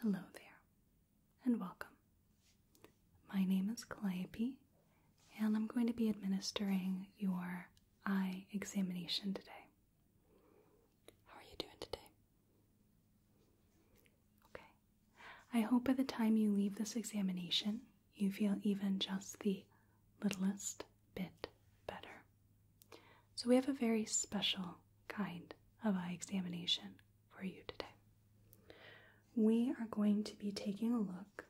Hello there, and welcome. My name is Calliope, and I'm going to be administering your eye examination today. How are you doing today? Okay. I hope by the time you leave this examination, you feel even just the littlest bit better. So, we have a very special kind of eye examination for you today. We are going to be taking a look,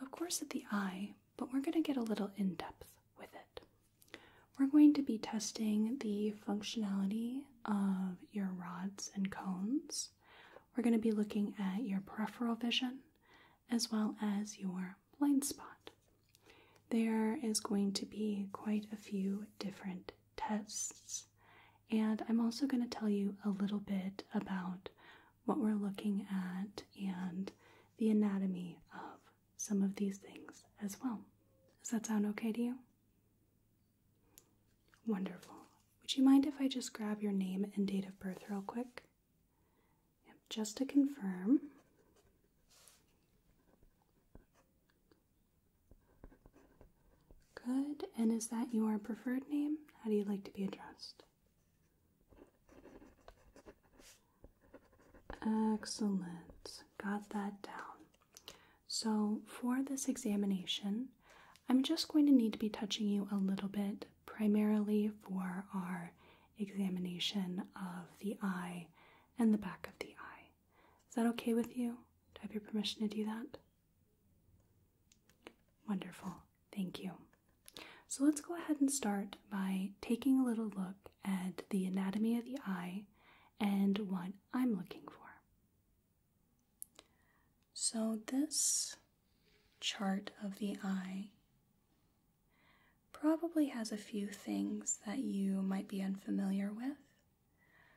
of course, at the eye, but we're going to get a little in depth with it. We're going to be testing the functionality of your rods and cones. We're going to be looking at your peripheral vision as well as your blind spot. There is going to be quite a few different tests. And I'm also going to tell you a little bit about what we're looking at and the anatomy of some of these things as well. Does that sound okay to you? Wonderful. Would you mind if I just grab your name and date of birth real quick? just to confirm. Good. And is that your preferred name? How do you like to be addressed? Excellent. Got that down. So, for this examination, I'm just going to need to be touching you a little bit, primarily for our examination of the eye and the back of the eye. Is that okay with you? Do I have your permission to do that? Wonderful. Thank you. So let's go ahead and start by taking a little look at the anatomy of the eye and what I'm looking for. So, this chart of the eye probably has a few things that you might be unfamiliar with.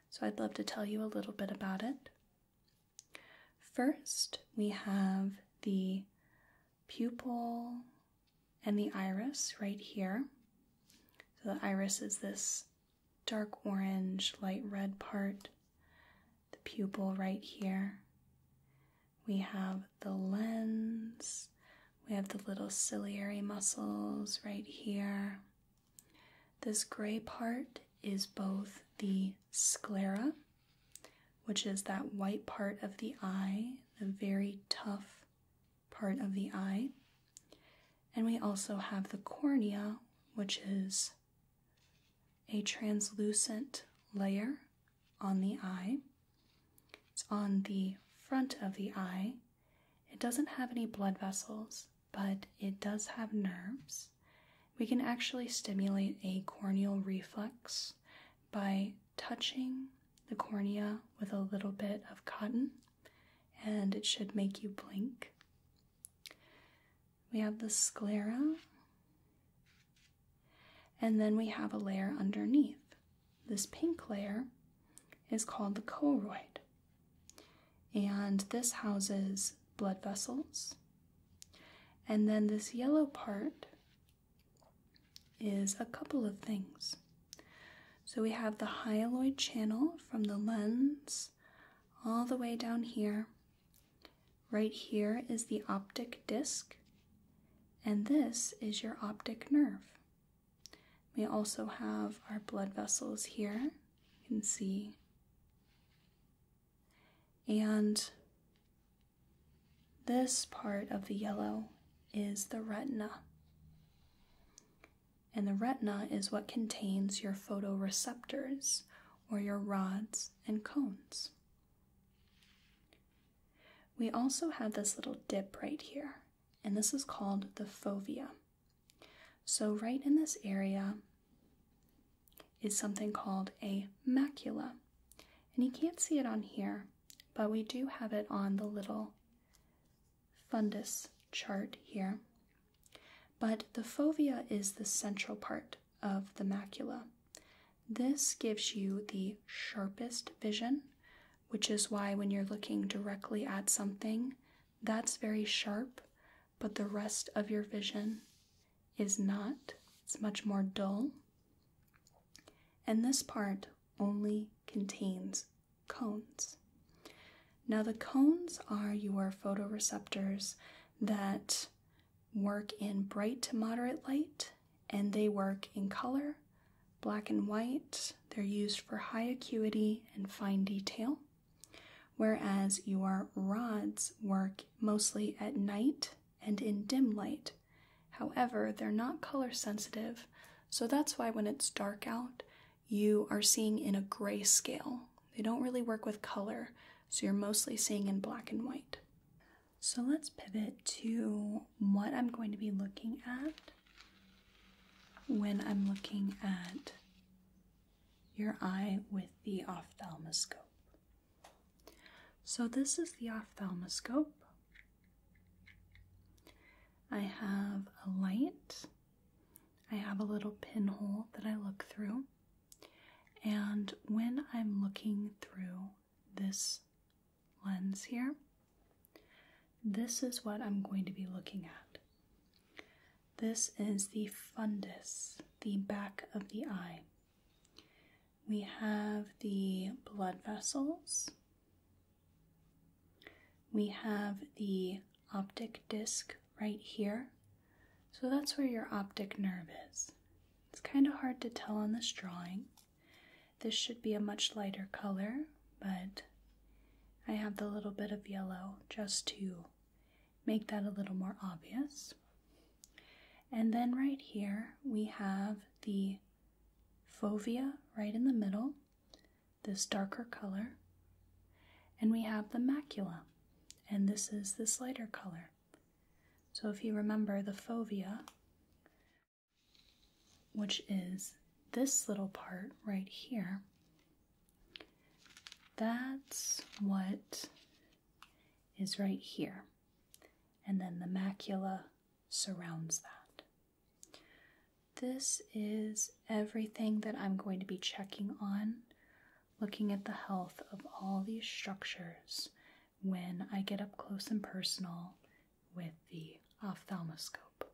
So I'd love to tell you a little bit about it. First, we have the pupil and the iris right here. So the iris is this dark orange, light red part, the pupil right here. We have the lens, we have the little ciliary muscles right here, this gray part is both the sclera, which is that white part of the eye, the very tough part of the eye, and we also have the cornea, which is a translucent layer on the eye. It's on the front of the eye it doesn't have any blood vessels, but it does have nerves. We can actually stimulate a corneal reflex by touching the cornea with a little bit of cotton, and it should make you blink. We have the sclera, and then we have a layer underneath. This pink layer is called the choroid. And this houses blood vessels. And then this yellow part is a couple of things. So we have the hyaloid channel from the lens all the way down here. Right here is the optic disc, and this is your optic nerve. We also have our blood vessels here, you can see. And this part of the yellow is the retina. And the retina is what contains your photoreceptors or your rods and cones. We also have this little dip right here, and this is called the fovea. So, right in this area is something called a macula. And you can't see it on here, but we do have it on the little fundus chart here. But the fovea is the central part of the macula. This gives you the sharpest vision, which is why when you're looking directly at something, that's very sharp, but the rest of your vision is not. It's much more dull. And this part only contains cones. Now, the cones are your photoreceptors that work in bright to moderate light and they work in color, black and white, they're used for high acuity and fine detail, whereas your rods work mostly at night and in dim light. However, they're not color sensitive, so that's why when it's dark out, you are seeing in a gray scale. They don't really work with color, so you're mostly seeing in black and white. So let's pivot to what I'm going to be looking at when I'm looking at your eye with the ophthalmoscope. So, this is the ophthalmoscope. I have a light, I have a little pinhole that I look through, and when I'm looking through this lens here, this is what I'm going to be looking at. This is the fundus, the back of the eye. We have the blood vessels. We have the optic disc right here. So that's where your optic nerve is. It's kind of hard to tell on this drawing. This should be a much lighter color, but I have the little bit of yellow just to make that a little more obvious. And then right here we have the fovea right in the middle, this darker color. And we have the macula, and this is this lighter color. So if you remember the fovea, which is this little part right here, that's what is right here. And then the macula surrounds that. This is everything that I'm going to be checking on, looking at the health of all these structures when I get up close and personal with the ophthalmoscope.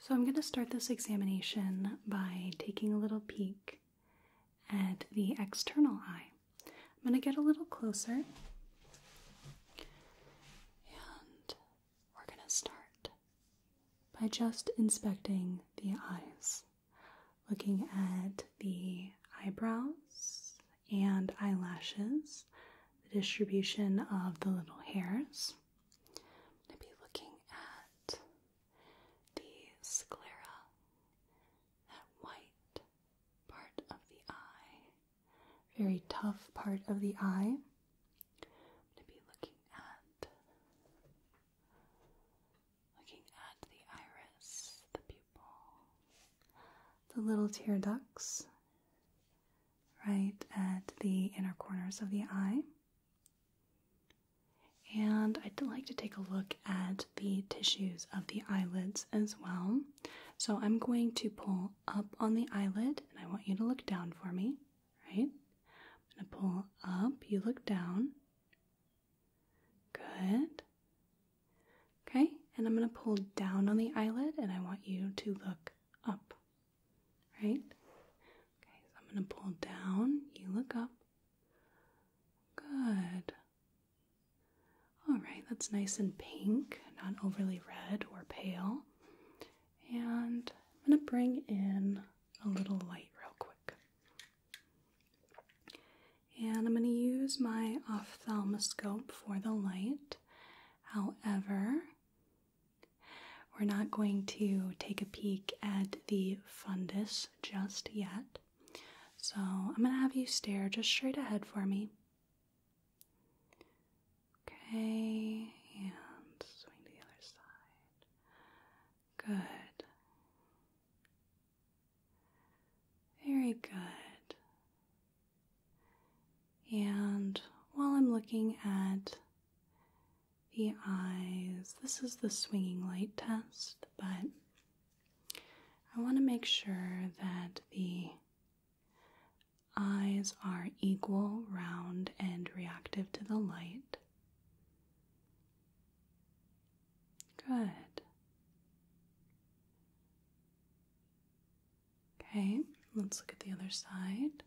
So, I'm going to start this examination by taking a little peek at the external eye. I'm going to get a little closer and we're going to start by just inspecting the eyes, looking at the eyebrows and eyelashes, the distribution of the little hairs. I'm going to be looking at the sclera, that white part of the eye, very tough part of the eye. I'm going to be looking at looking at the iris, the pupil, the little tear ducts right at the inner corners of the eye. And I'd like to take a look at the tissues of the eyelids as well. So I'm going to pull up on the eyelid and I want you to look down for me, right? I'm going to pull up, you look down. Good. Okay, and I'm going to pull down on the eyelid and I want you to look up. Right? Okay, so I'm going to pull down. You look up. Good. All right, that's nice and pink, not overly red or pale. And I'm going to bring in a little light real quick. And I'm going to use my ophthalmoscope for the light. However, we're not going to take a peek at the fundus just yet. So I'm going to have you stare just straight ahead for me. Okay, and swing to the other side. Good. Very good. And while I'm looking at the eyes. This is the swinging light test, but I want to make sure that the eyes are equal, round, and reactive to the light. Good. Okay, let's look at the other side.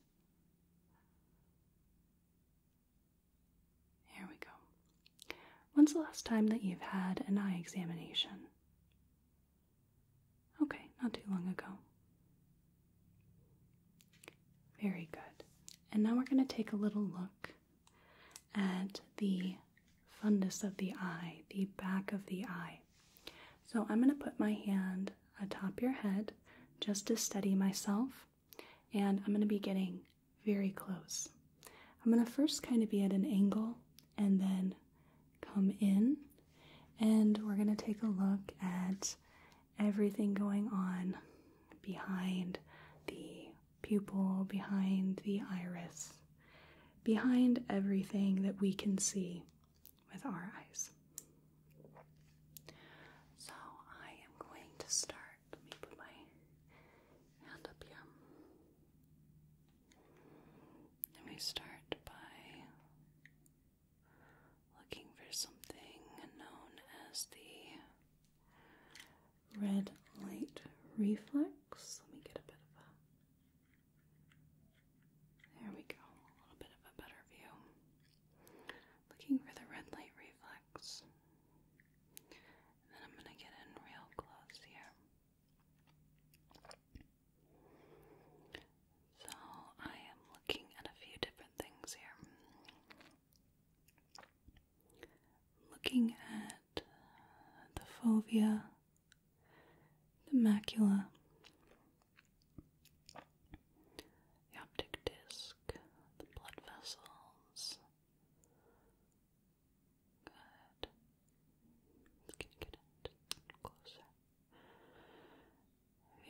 Here we go. When's the last time that you've had an eye examination? Okay, not too long ago. Very good. And now we're going to take a little look at the fundus of the eye, the back of the eye. So I'm going to put my hand atop your head just to steady myself, and I'm going to be getting very close. I'm going to first kind of be at an angle and then come in, and we're going to take a look at everything going on behind the pupil, behind the iris, behind everything that we can see with our eyes. So I am going to start. Let me put my hand up here. Let me start by looking for something known as the red light reflex. Let me get a bit of a. There we go, a little bit of a better view looking for the red light reflex. And I'm going to get in real close here. So, I am looking at a few different things here. Looking at the fovea, the macula, the optic disc, the blood vessels. Good. Can you get it closer?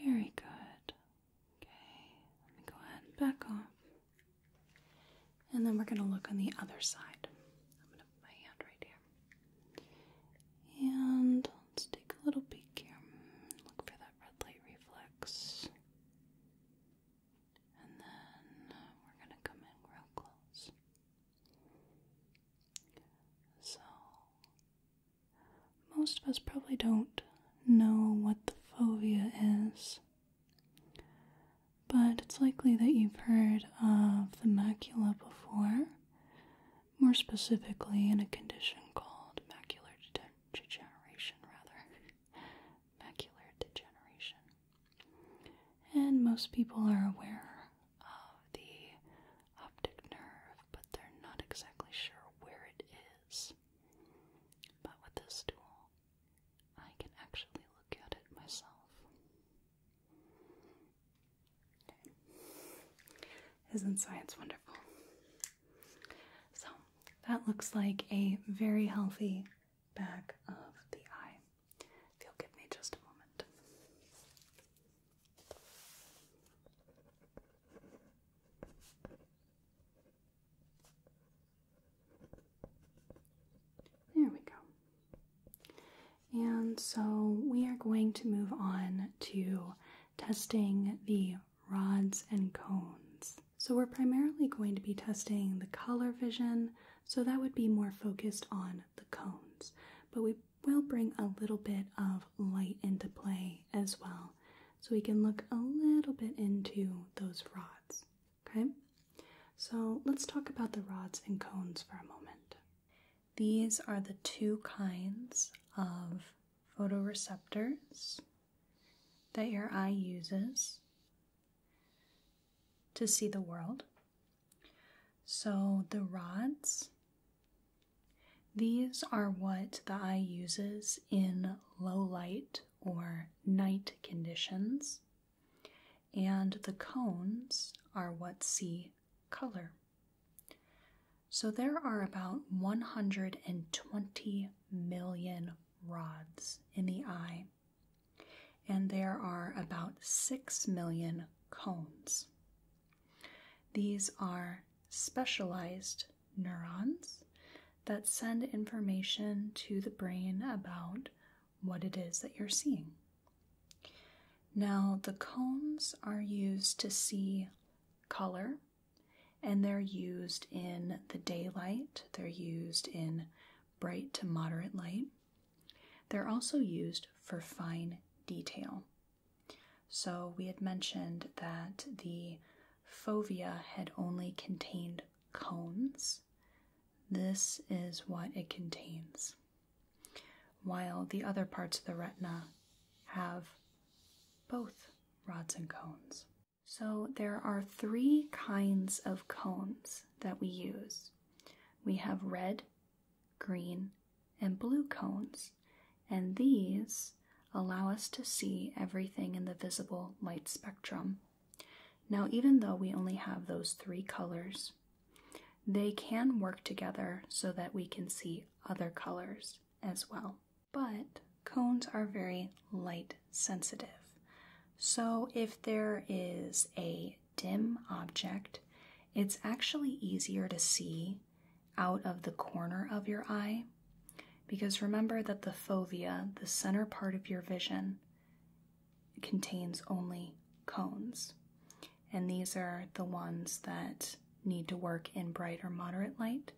Very good. Okay, let me go ahead and back off. And then we're going to look on the other side. I'm going to put my hand right here. And let's take a little peek here. Look for that red light reflex. And then uh, we're going to come in real close. So, most of us probably don't know what the fovea is, but it's likely that you've heard of the macula before, more specifically in a condition called macular degeneration degeneration rather. Macular degeneration. And most people are aware of the optic nerve, but they're not exactly sure where it is. But with this tool, I can actually look at it myself. Isn't science wonderful? So that looks like a very healthy back of the eye. If you'll give me just a moment. There we go. And so we are going to move on to testing the rods, and cones. So we're primarily going to be testing the color vision, so that would be more focused on the cones. But we will bring a little bit of light into play as well, so we can look a little bit into those rods, okay? So let's talk about the rods and cones for a moment. These are the two kinds of photoreceptors that your eye uses to see the world. So the rods, these are what the eye uses in low light or night conditions, and the cones are what see color. So there are about 120 million rods in the eye, and there are about 6 million cones. These are specialized neurons that send information to the brain about what it is that you're seeing. Now, the cones are used to see color and they're used in the daylight, they're used in bright to moderate light. They're also used for fine detail. So, we had mentioned that the fovea had only contained cones. This is what it contains. While the other parts of the retina have both rods and cones. So there are three kinds of cones that we use. We have red, green, and blue cones, and these allow us to see everything in the visible light spectrum. Now, even though we only have those three colors, they can work together so that we can see other colors as well but cones are very light sensitive. So if there is a dim object, it's actually easier to see out of the corner of your eye because remember that the fovea, the center part of your vision, contains only cones. And these are the ones that need to work in bright or moderate light.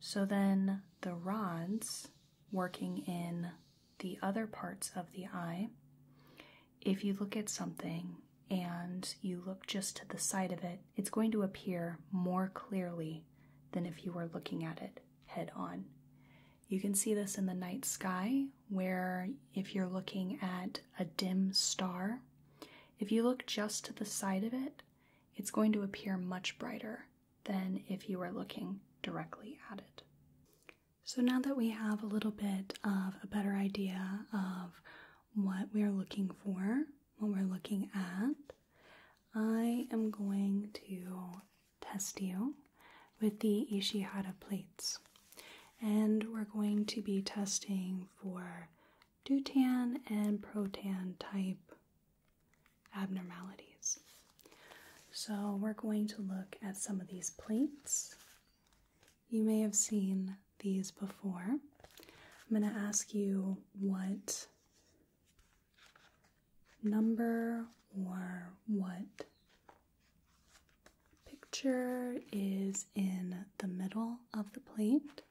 So then the rods working in the other parts of the eye, if you look at something and you look just to the side of it, it's going to appear more clearly than if you were looking at it head on. You can see this in the night sky, where if you're looking at a dim star, if you look just to the side of it, it's going to appear much brighter than if you were looking directly at it. So now that we have a little bit of a better idea of what we are looking for, what we're looking at, I am going to test you with the Ishihata plates. And we're going to be testing for Dutan and Protan type abnormalities. So, we're going to look at some of these plates. You may have seen these before. I'm going to ask you what number or what picture is in the middle of the plate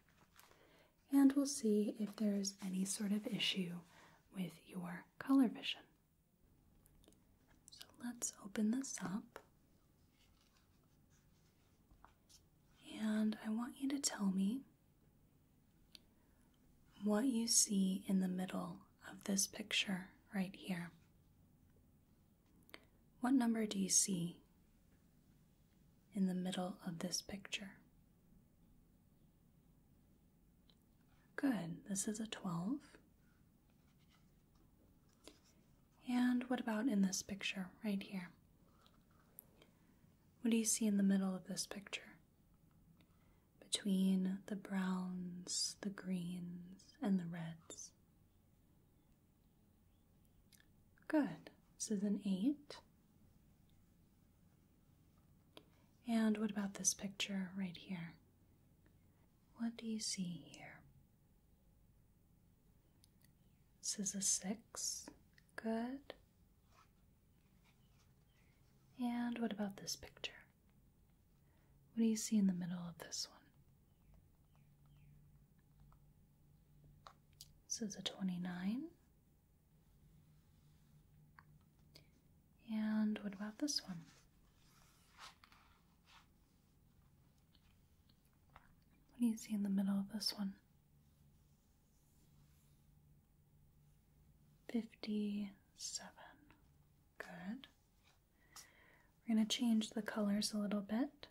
and we'll see if there's any sort of issue with your color vision. So let's open this up. And I want you to tell me what you see in the middle of this picture right here. What number do you see? in the middle of this picture. Good, this is a 12. And what about in this picture right here? What do you see in the middle of this picture? Between the browns, the greens, and the reds. Good. This is an 8. And what about this picture right here? What do you see here? This is a six. Good. And what about this picture? What do you see in the middle of this one? This is a 29. And what about this one? What do you see in the middle of this one? 57. Good. We're going to change the colors a little bit.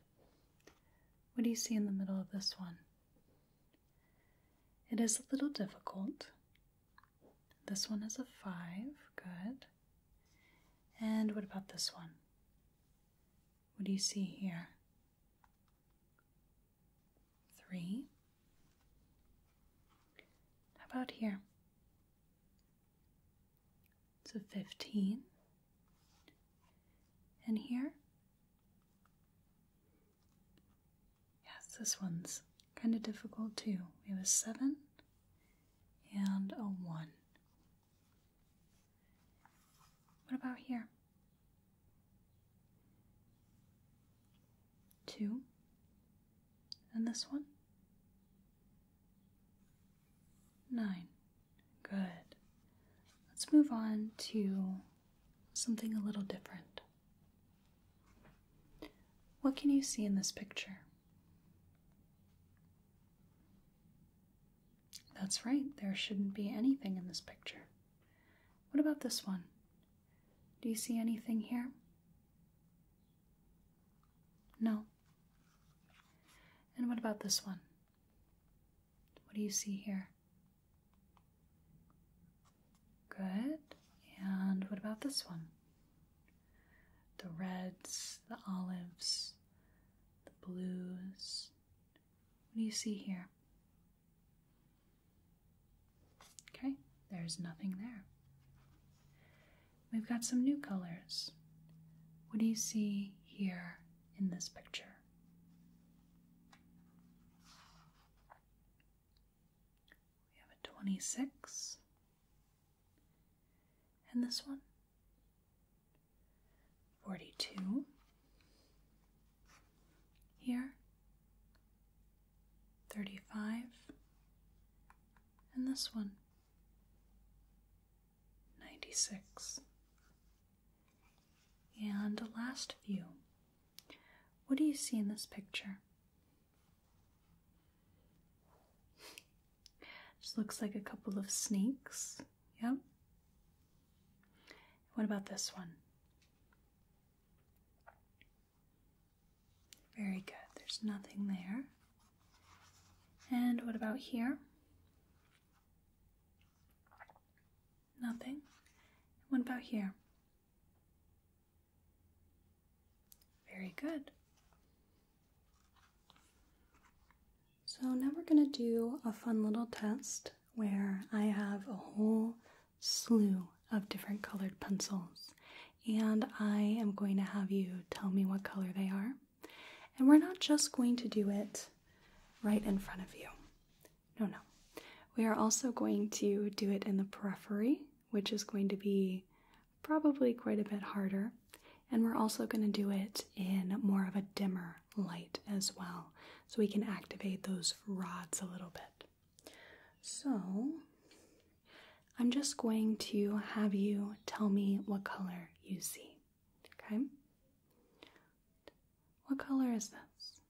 What do you see in the middle of this one? It is a little difficult. This one is a 5, good. And what about this one? What do you see here? 3. How about here? It's a 15. And here? Yes, this one's kind of difficult too. It was 7 and a 1. What about here? 2. And this one? 9. Good. Let's move on to something a little different. What can you see in this picture? That's right, there shouldn't be anything in this picture. What about this one? Do you see anything here? No. And what about this one? What do you see here? Good. And what about this one? The reds, the olives, the blues. What do you see here? Okay, there's nothing there. We've got some new colors. What do you see here in this picture? We have a 26. And this one? 42. Here? 35. And this one? 96. And the last view. What do you see in this picture? Just looks like a couple of snakes. Yep. What about this one? Very good. There's nothing there. And what about here? Nothing. what about here? Very good. So now we're going to do a fun little test where I have a whole slew of different colored pencils and I am going to have you tell me what color they are. And we're not just going to do it right in front of you. No, no. We are also going to do it in the periphery, which is going to be probably quite a bit harder. And we're also going to do it in more of a dimmer light as well, so we can activate those rods a little bit. So, I'm just going to have you tell me what color you see. Okay? What color is this?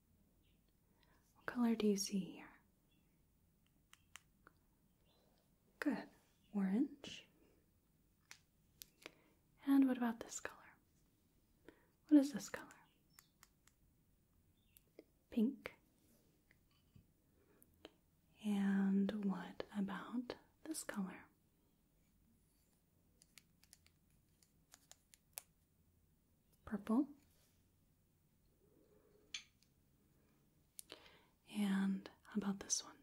What color do you see here? Good. Orange. And what about this color? What is this color? Pink. And what about this color? purple, and how about this one?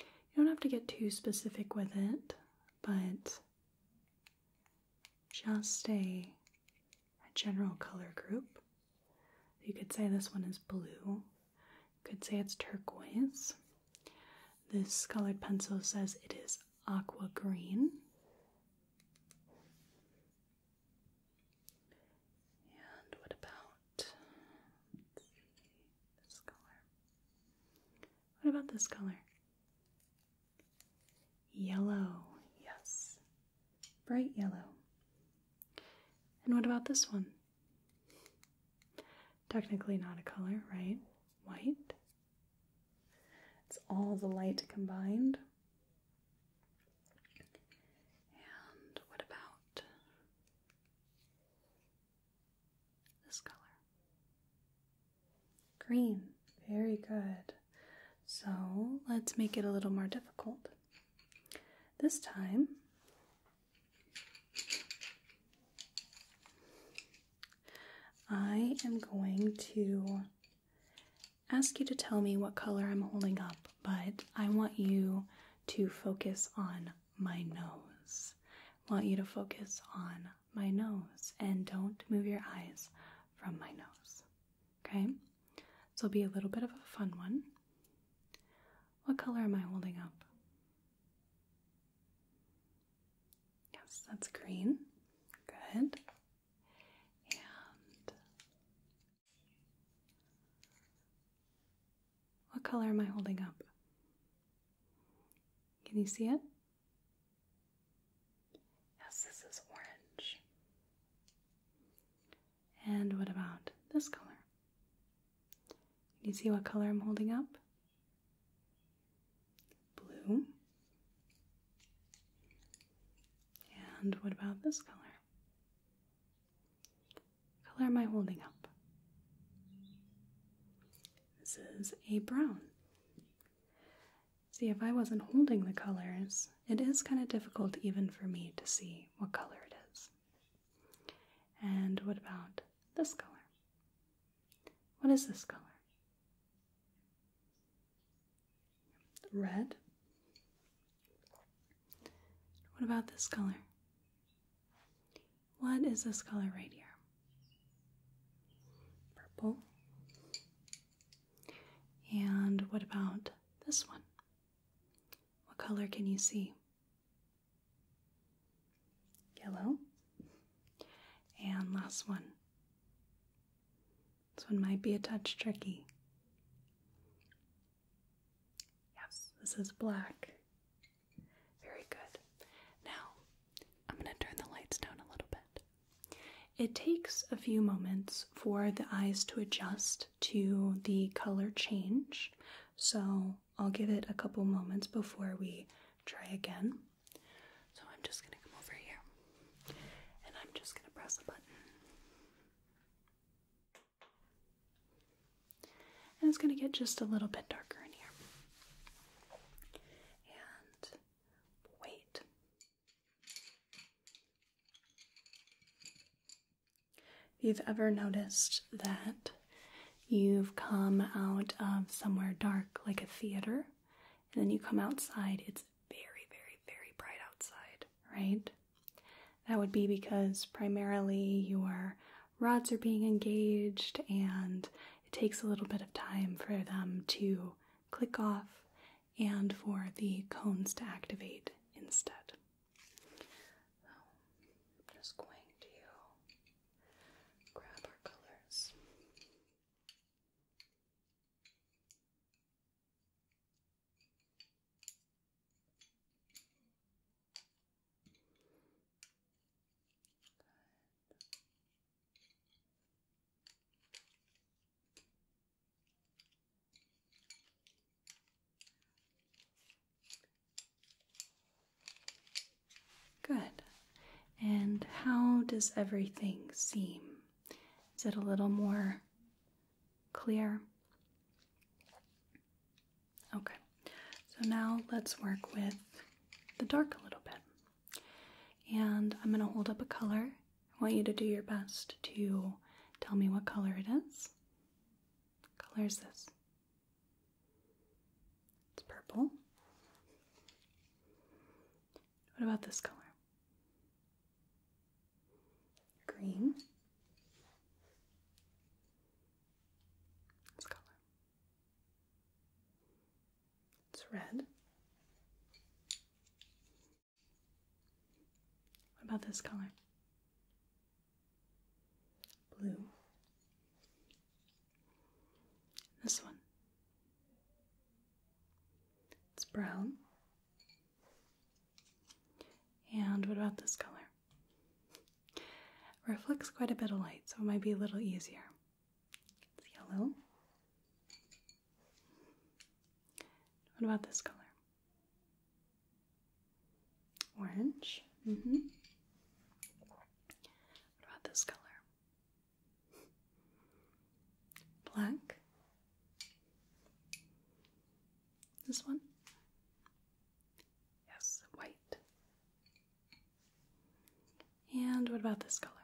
You don't have to get too specific with it, but just a, a general color group. You could say this one is blue. You could say it's turquoise. This colored pencil says it is aqua green. And what about this color? What about this color? Yellow, yes, bright yellow. And what about this one? Technically not a color, right? White, it's all the light combined. And what about this color? Green. Very good. So let's make it a little more difficult. This time, I am going to ask you to tell me what color I'm holding up, but I want you to focus on my nose. want you to focus on my nose and don't move your eyes from my nose. Okay? So it'll be a little bit of a fun one. What color am I holding up? Yes, that's green. Good. And what color am I holding up? Can you see it? Yes, this is orange. And what about this color? you see what color I'm holding up? blue. And what about this color? color am I holding up? This is a brown. See, if I wasn't holding the colors, it is kind of difficult even for me to see what color it is. And what about this color? What is this color? red. What about this color? What is this color right here? Purple. And what about this one? What color can you see? Yellow. And last one. This one might be a touch tricky. Yes, this is black. Very good. Now, I'm going to turn the lights down a little bit. It takes a few moments for the eyes to adjust to the color change, so I'll give it a couple moments before we try again. So I'm just going to come over here and I'm just going to press a button. And it's going to get just a little bit darker in here. And wait. If you've ever noticed that you've come out of somewhere dark, like a theater, and then you come outside, it's very, very, very bright outside. Right? That would be because primarily your rods are being engaged and it takes a little bit of time for them to click off and for the cones to activate instead. So I'm just going to grab our colors. Good. And how does everything seem? Is it a little more clear? Okay, so now let's work with the dark a little bit. And I'm going to hold up a color. I want you to do your best to tell me what color it is. What color is this? It's purple. What about this color? Green. This color. It's red. What about this color? Blue. This one. It's brown. And what about this color? reflects quite a bit of light, so it might be a little easier. yellow. What about this color? Orange. Mm-hmm. What about this color? Black. This one? Yes, white. And what about this color?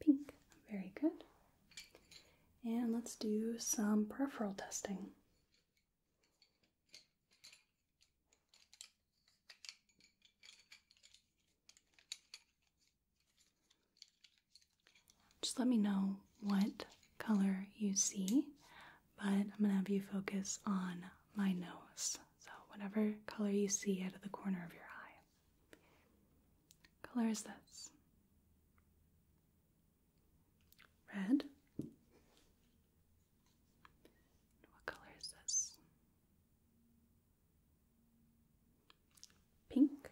Pink. Very good. And let's do some peripheral testing. Just let me know what color you see, but I'm gonna have you focus on my nose. So, whatever color you see out of the corner of your eye. color is this? Red. What color is this? pink.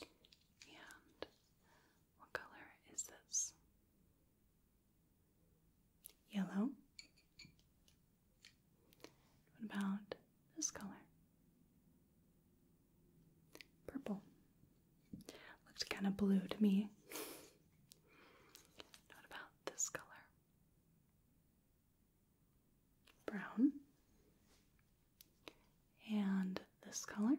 And what color is this? Yellow. What about this color? Purple. Looks kind of blue to me. What about this color? brown, and this color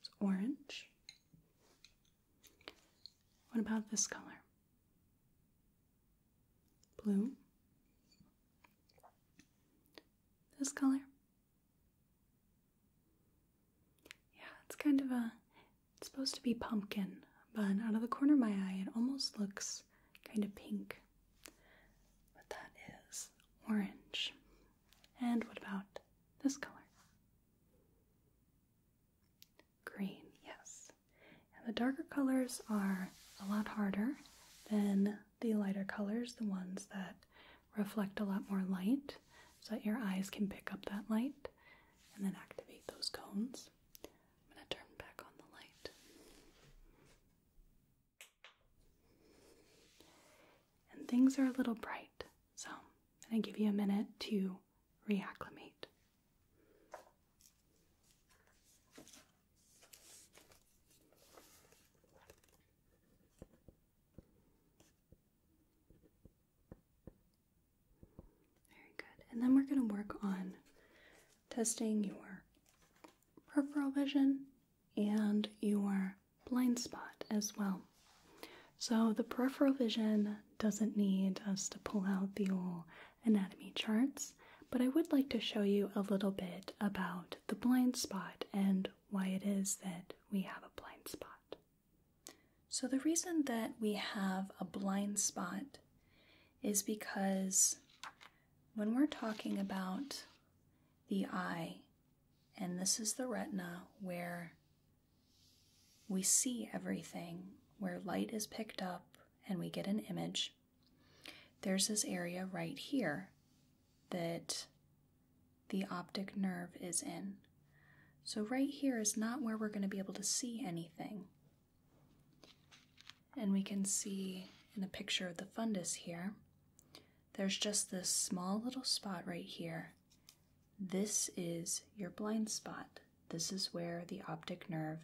It's orange. What about this color? Blue. This color. Yeah, it's kind of a it's supposed to be pumpkin, but out of the corner of my eye, it almost looks kind of pink. But that is orange. And what about this color? Green, yes. And the darker colors are a lot harder than the lighter colors, the ones that reflect a lot more light so that your eyes can pick up that light and then activate those cones. I'm going to turn back on the light. And things are a little bright, so i give you a minute to reacclimate. Very good. And then we're going to work on testing your peripheral vision and your blind spot as well. So the peripheral vision doesn't need us to pull out the old anatomy charts, but I would like to show you a little bit about the blind spot and why it is that we have a blind spot. So, the reason that we have a blind spot is because when we're talking about the eye, and this is the retina where we see everything, where light is picked up and we get an image, there's this area right here that the optic nerve is in. So, right here is not where we're going to be able to see anything. And we can see in the picture of the fundus here, there's just this small little spot right here. This is your blind spot. This is where the optic nerve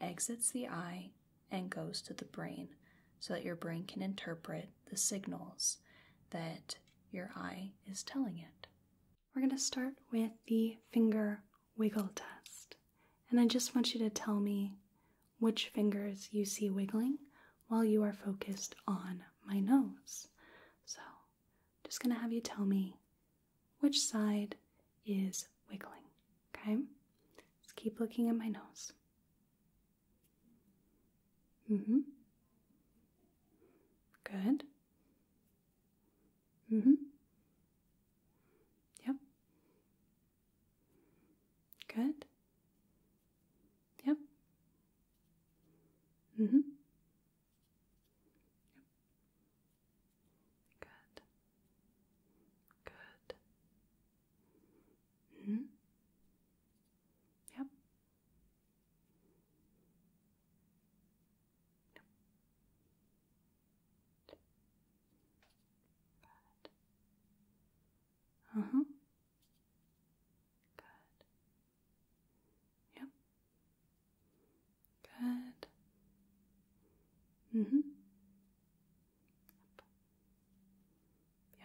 exits the eye and goes to the brain so that your brain can interpret the signals that your eye is telling it. We're going to start with the finger wiggle test. And I just want you to tell me which fingers you see wiggling while you are focused on my nose. So just going to have you tell me which side is wiggling, okay? Let's keep looking at my nose. Mm hmm. Good. Mm-hmm. Yep. Good. Yep. Mm-hmm. Yep. Good. Good. Mm-hmm. Yep. Uh mm-hmm. huh. Good. Yep. Good. Mm hmm.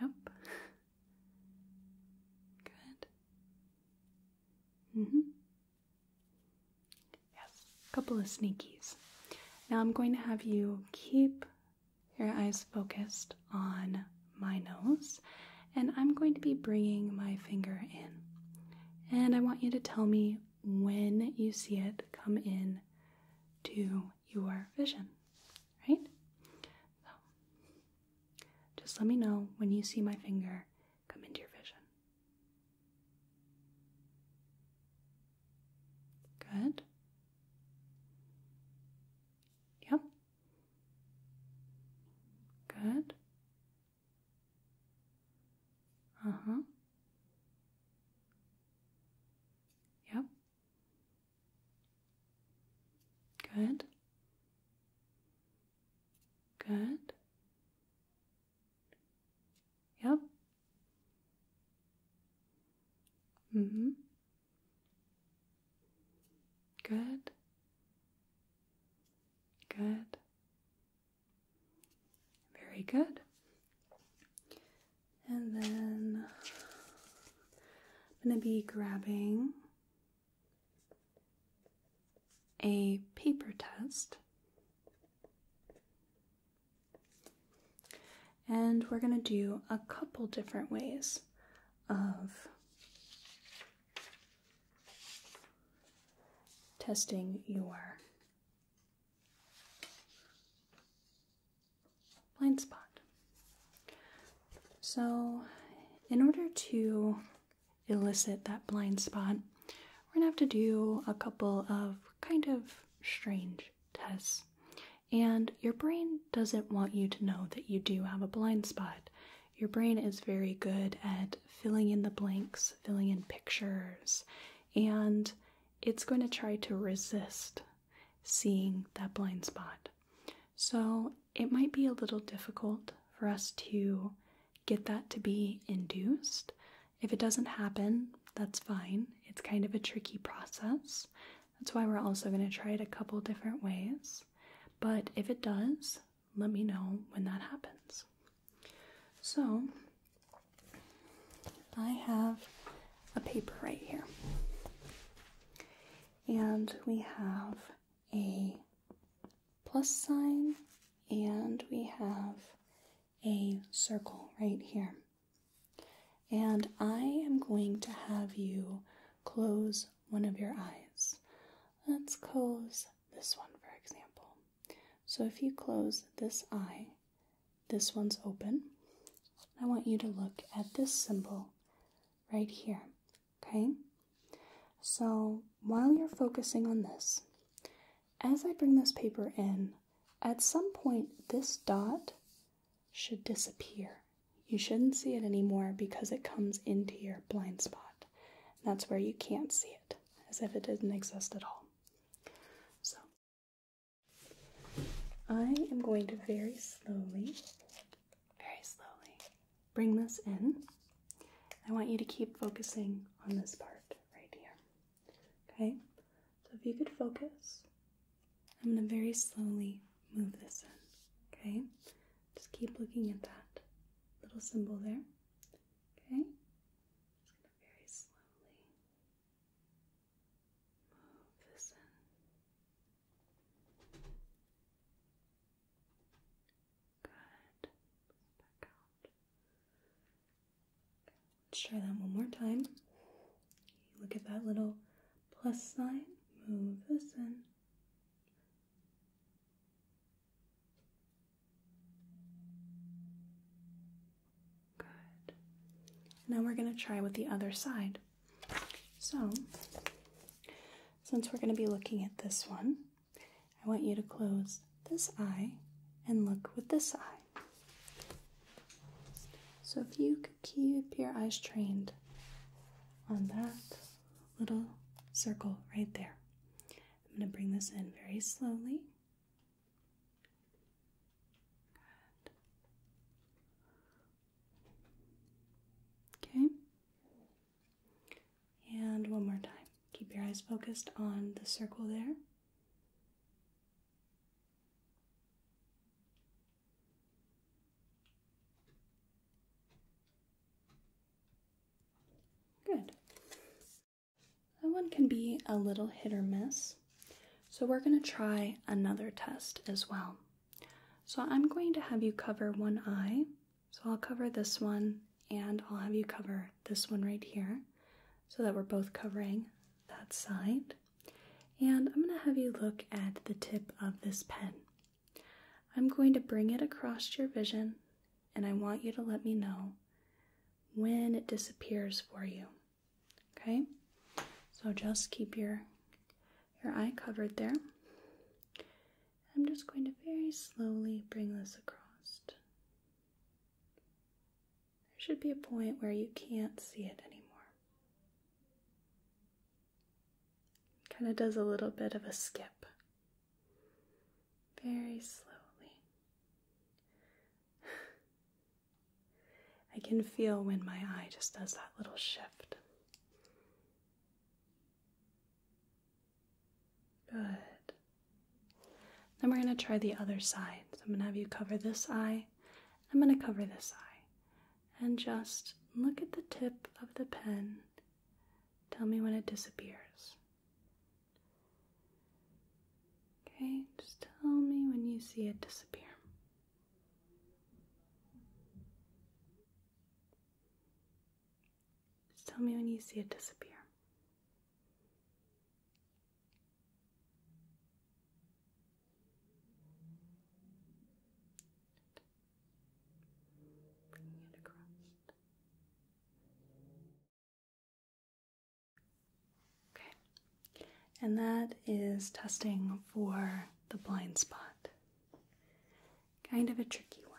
Yep. Good. Mm hmm. Yes, a couple of sneakies. Now I'm going to have you keep your eyes focused on my nose, and I'm going to be bringing my finger in. And I want you to tell me when you see it come in to your vision, right? So just let me know when you see my finger come into your vision. Good. Yep. Good. Uh huh. Yep. Good. Good. Yeah? Mm hmm. Good. Good. Very good. And then I'm going to be grabbing a paper test. And we're going to do a couple different ways of testing your blind spot. So, in order to elicit that blind spot, we're gonna have to do a couple of kind of strange tests. And your brain doesn't want you to know that you do have a blind spot. Your brain is very good at filling in the blanks, filling in pictures, and it's going to try to resist seeing that blind spot. So it might be a little difficult for us to get that to be induced. If it doesn't happen, that's fine. It's kind of a tricky process. That's why we're also going to try it a couple different ways. But if it does, let me know when that happens. So, I have a paper right here. And we have a plus sign, and we have a circle right here. And I am going to have you close one of your eyes. Let's close this one, for example. So if you close this eye, this one's open. I want you to look at this symbol right here, okay? So while you're focusing on this, as I bring this paper in, at some point this dot should disappear. You shouldn't see it anymore because it comes into your blind spot. that's where you can't see it, as if it didn't exist at all. So, I am going to very slowly, very slowly bring this in. I want you to keep focusing on this part right here. Okay, so if you could focus, I'm going to very slowly move this in. Okay, just keep looking at that little symbol there. Okay, just going to very slowly move this in. Good. Back out. Let's try that one more time. look at that little plus sign, move this in. Good. Now we're going to try with the other side. So, since we're going to be looking at this one, I want you to close this eye and look with this eye. So if you could keep your eyes trained on that little circle right there. I'm going to bring this in very slowly. Okay. And one more time. Keep your eyes focused on the circle there. Good. That one can be a little hit or miss. So we're going to try another test as well. So I'm going to have you cover one eye. So I'll cover this one and I'll have you cover this one right here so that we're both covering that side. And I'm going to have you look at the tip of this pen. I'm going to bring it across your vision and I want you to let me know when it disappears for you. Okay? So just keep your your eye covered there. I'm just going to very slowly bring this across. There should be a point where you can't see it anymore. Kind of does a little bit of a skip. Very slowly. I can feel when my eye just does that little shift. Good. Then we're going to try the other side. So I'm going to have you cover this eye. I'm going to cover this eye. And just look at the tip of the pen. Tell me when it disappears. Okay, just tell me when you see it disappear. Just tell me when you see it disappear. Okay, and that is testing for the blind spot. Kind of a tricky one.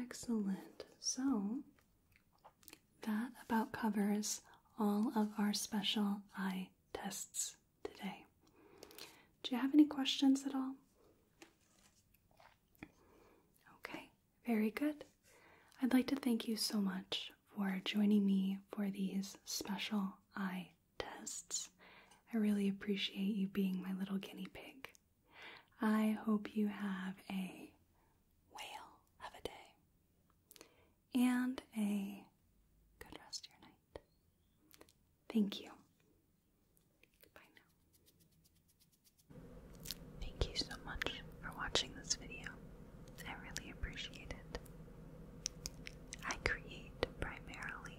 Excellent. So that about covers all of our special eye tests today. Do you have any questions at all? Okay, very good. I'd like to thank you so much for joining me for these special eye tests. I really appreciate you being my little guinea pig. I hope you have a whale of a day and a good rest of your night. Thank you. Thank you so much for watching this video. I really appreciate it. I create primarily